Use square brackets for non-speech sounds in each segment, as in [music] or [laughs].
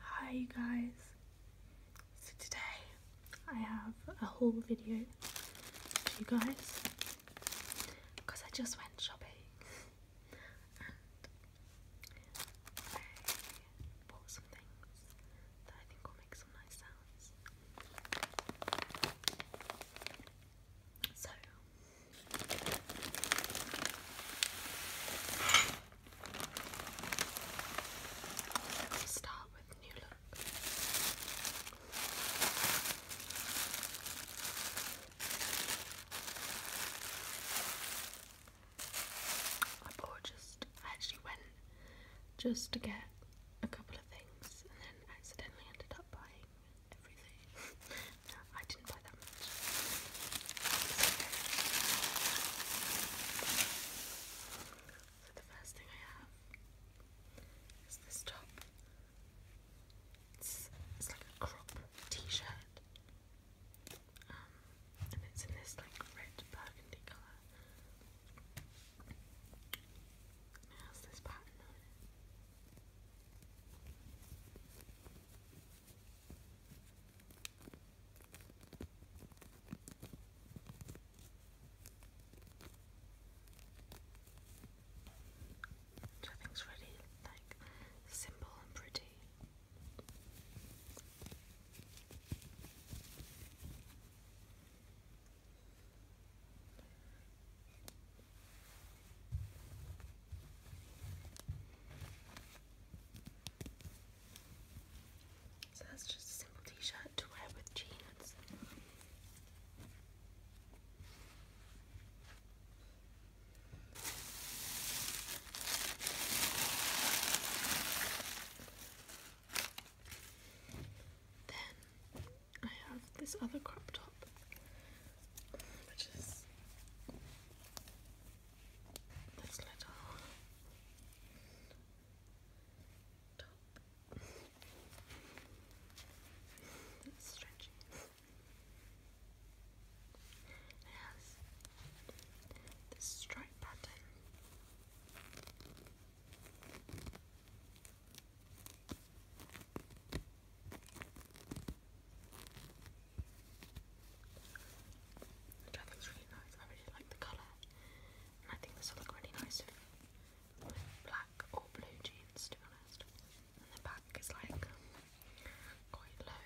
Hi you guys, so today I have a haul video for you guys because I just went shopping and bought some things that I think will make some nice sounds. So so we with new look. I bought just I actually went just to get a couple of things and then accidentally ended up buying everything. [laughs] No, I didn't buy that much. So the first thing I have is this top. It's, it's like a crop t-shirt. Um, and it's in this like red burgundy colour. And this pattern on it. So everything's really like simple and pretty. So that's just a simple t-shirt to wear with jeans. Then I have this other crop top which is this little top. It's stretchy. It has this stripe pattern. Which I really nice. I really like the colour. And I think this will look really nice with black or blue jeans, to be honest. And the back is like um, quite low.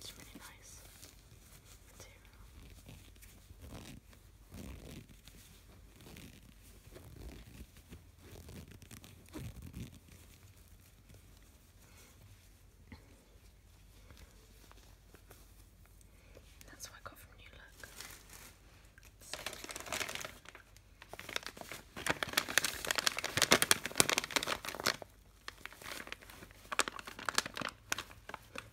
It's really That's what I got from New Look.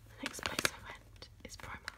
The next place I went is Primark.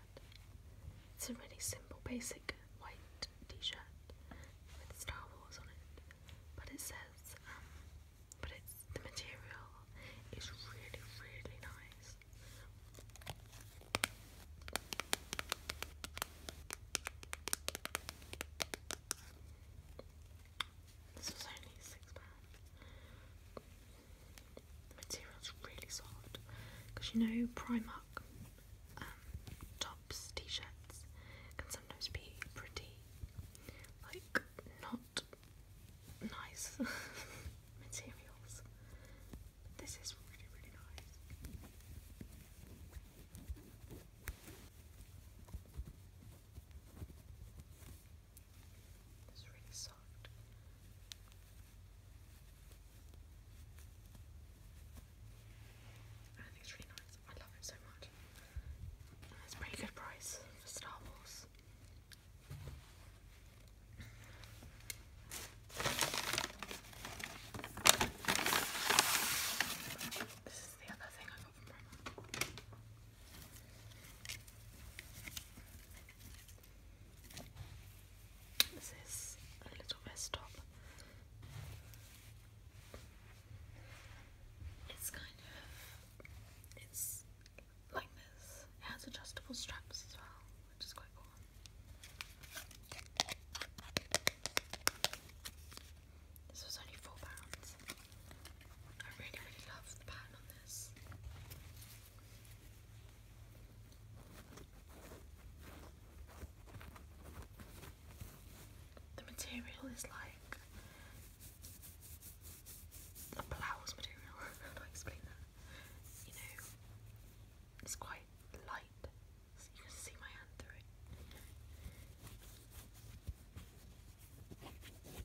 It's a really simple, basic white t shirt with Star Wars on it. But it says, um, but it's the material is really, really nice. This was only six pounds the material is really soft because you know Primark um, tops, t-shirts can sometimes be pretty like not nice [laughs] materials. this is really really nice. It's really soft. I think it's really nice. I love it so much. it's a pretty good price for Star Wars. This is the other thing I got from Roma. This is a little vest top. It's kind of it's like this. It has adjustable straps as well, which is quite cool. This was only four pounds. I really, really love the pattern on this. The material is like a blouse material. How do I explain that? You know, it's quite light, you can see my hand through it.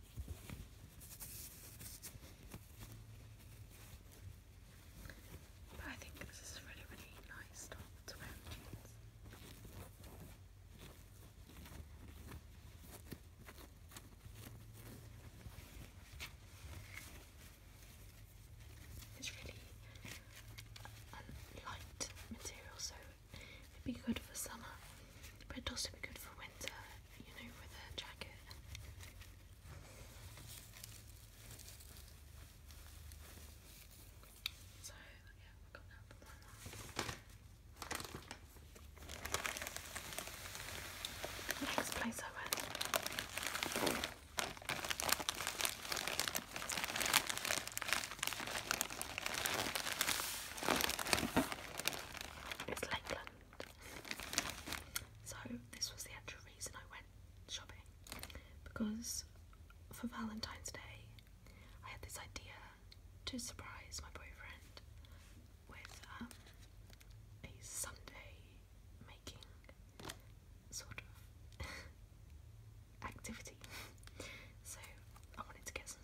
I think this is really, really nice top to wear It's really light material, so it'd be good for summer, but it'd also be good for winter you know, for the jacket. So, yeah, I got that for that Next place I went. It's Lakeland. So this was the actual reason I went shopping because for Valentine's Day I had this idea to surprise my boyfriend with um, a Sunday making sort of [laughs] activity. So I wanted to get some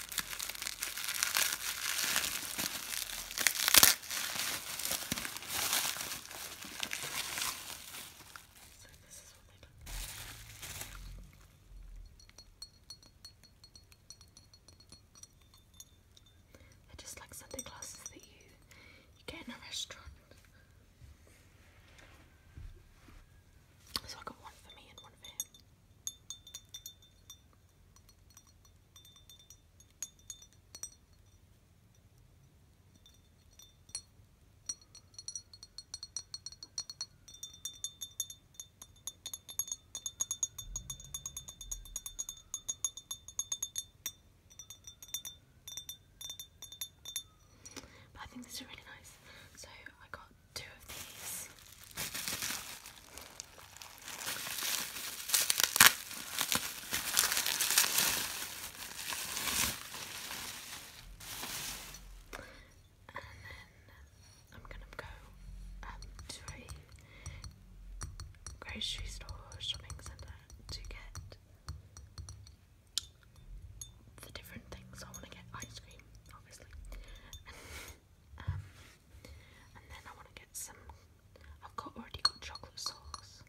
So they just like Sunday classes that you you get in a restaurant. So I got one for me and one for him. But I think these are really nice. So I got two of these. And then I'm gonna go um, to a grocery store shopping centre to get the different things. I want to get ice cream, obviously. [laughs] Um, and then I want to get some. I've got already got chocolate sauce.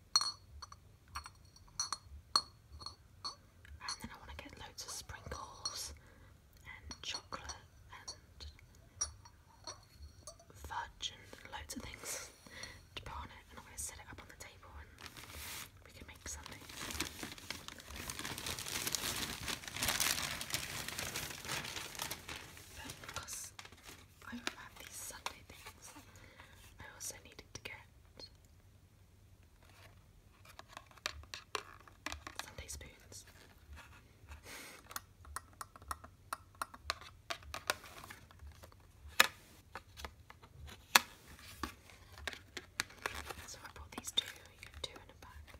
And then I want to get loads of sprinkles and chocolate and fudge and loads of things to put on it. And I'm going to set it up on the table and we can make something. But because I had these Sunday things, I also needed to get Sunday spoons. So I bought these two, you get two in a bag.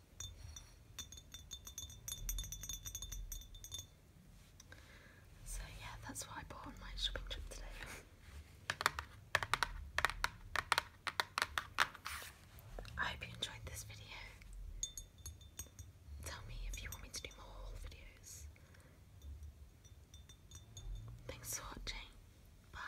So yeah, that's what I bought on my shopping trip today. I hope you enjoyed this video. Tell me if you want me to do more videos. Thanks for watching. Bye.